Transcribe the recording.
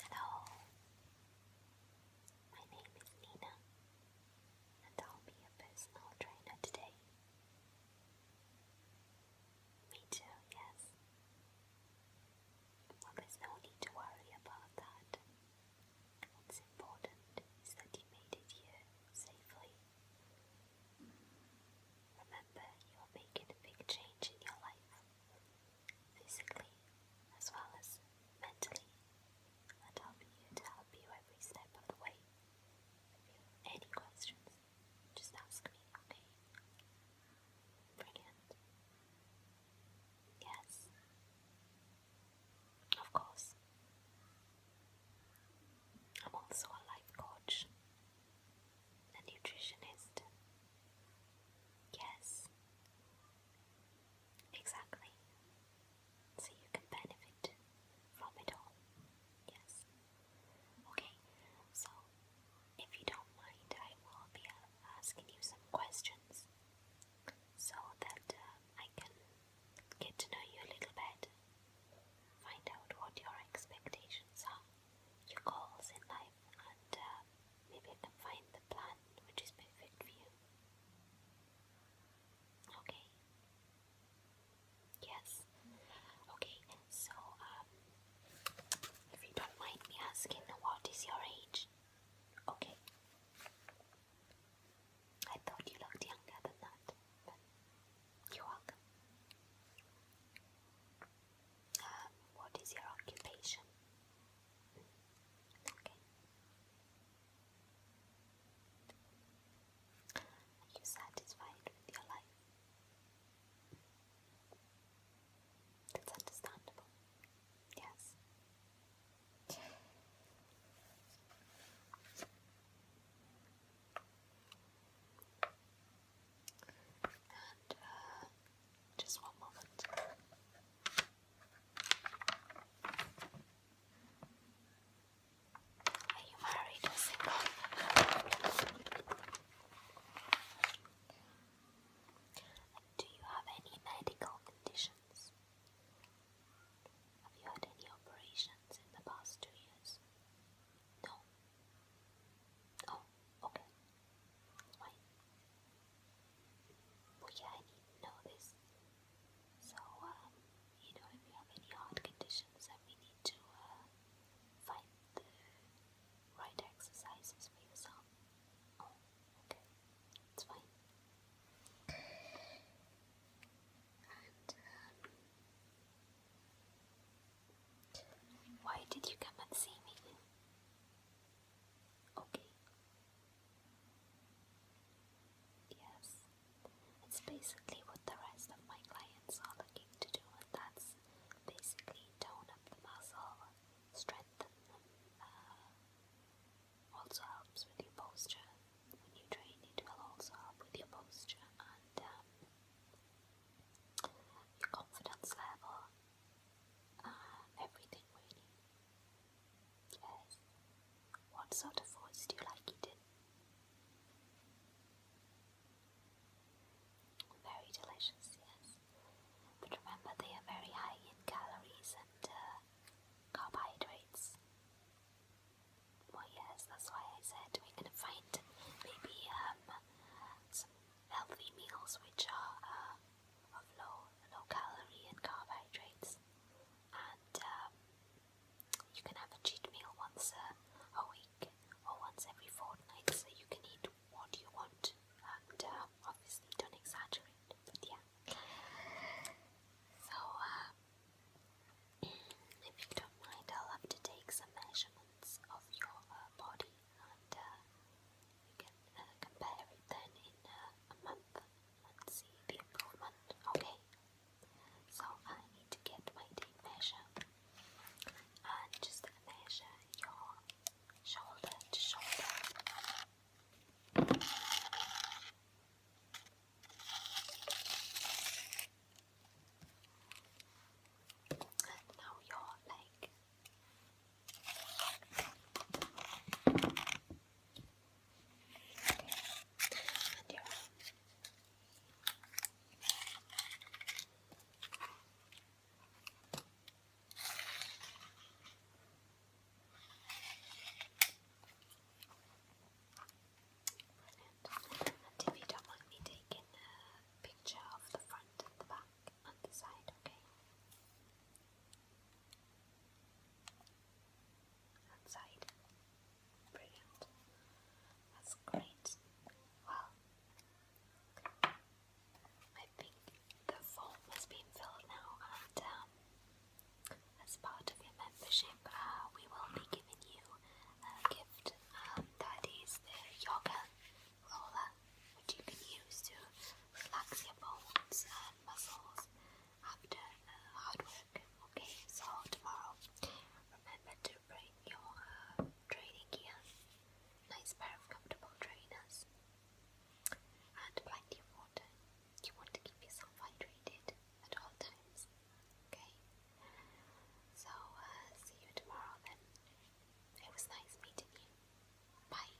Hello, my name is Nina, and I'll be your personal trainer today. Me too, yes. Well, there's no need to worry about that. What's important is that you made it here safely. Remember, you are making a big change in your life physically as well as mentally, and helping you to help you every step of the way. If you have any questions, just ask me, okay? Brilliant. Yes. Of course. I'm also a life coach. A nutritionist. Yes. Exactly. So you can benefit from it all. Yes. Okay, so if you don't mind, I will be uh, asking you some questions so that uh, I can get to know you a little bit Find out what your expectations are, your goals in life, and uh, maybe I can find the plan which is perfect for you. Okay? Yes? Okay, so um, if you don't mind me asking, what is your age? Okay. I thought you looked younger than that, you're welcome. Um, what is your occupation? Hmm. Okay. Are you satisfied with your life? That's understandable. Yes. And just one moment. Are you married or single? do you have any medical conditions? Have you had any operations in the past two years? No. Oh, okay. Fine. yeah, I know this. So, um, you know, if you have any hard conditions, then we need to uh, find the right exercises for yourself. Oh, okay. Um, why did you come and see me? Okay. Yes. It's basically what the rest of my clients are looking to do, and that's basically tone up the muscle strengthen uh, also helps with your posture. When you train it will also help with your posture and um, your confidence level. Uh, everything really. Yes. What sort of foods do you like eating? Very delicious, yes. But remember, they are very high in calories and uh, carbohydrates. Well, yes, that's why I said we're gonna find maybe um, some healthy meals which are uh, of low low calorie and carbohydrates, and um, you can have a cheat meal once a week or once every fortnight, so you can eat what you want and um, obviously don't exaggerate, but yeah. So, um, mm, if you don't mind, I'll have to take some measurements of your uh, body and uh, can uh, compare it then in uh, a month and see the improvement, okay? So, I need to get my tape and just measure your shoulder to shoulder. now your leg. And your and if you don't mind me taking a picture of the front and the back and the side, okay? outside. Brilliant. That's great. Well, I think the form has been filled now, and um, as part of your membership, uh, we will be giving you a gift. Um, that is the yoga roller, which you can use to relax your bones and muscles after uh, hard work. Okay, so tomorrow, remember to bring your uh, training gear, nice pair of comfortable trainers, and plenty of water. You want to keep yourself hydrated at all times. Okay, so uh, see you tomorrow then. It was nice meeting you. Bye.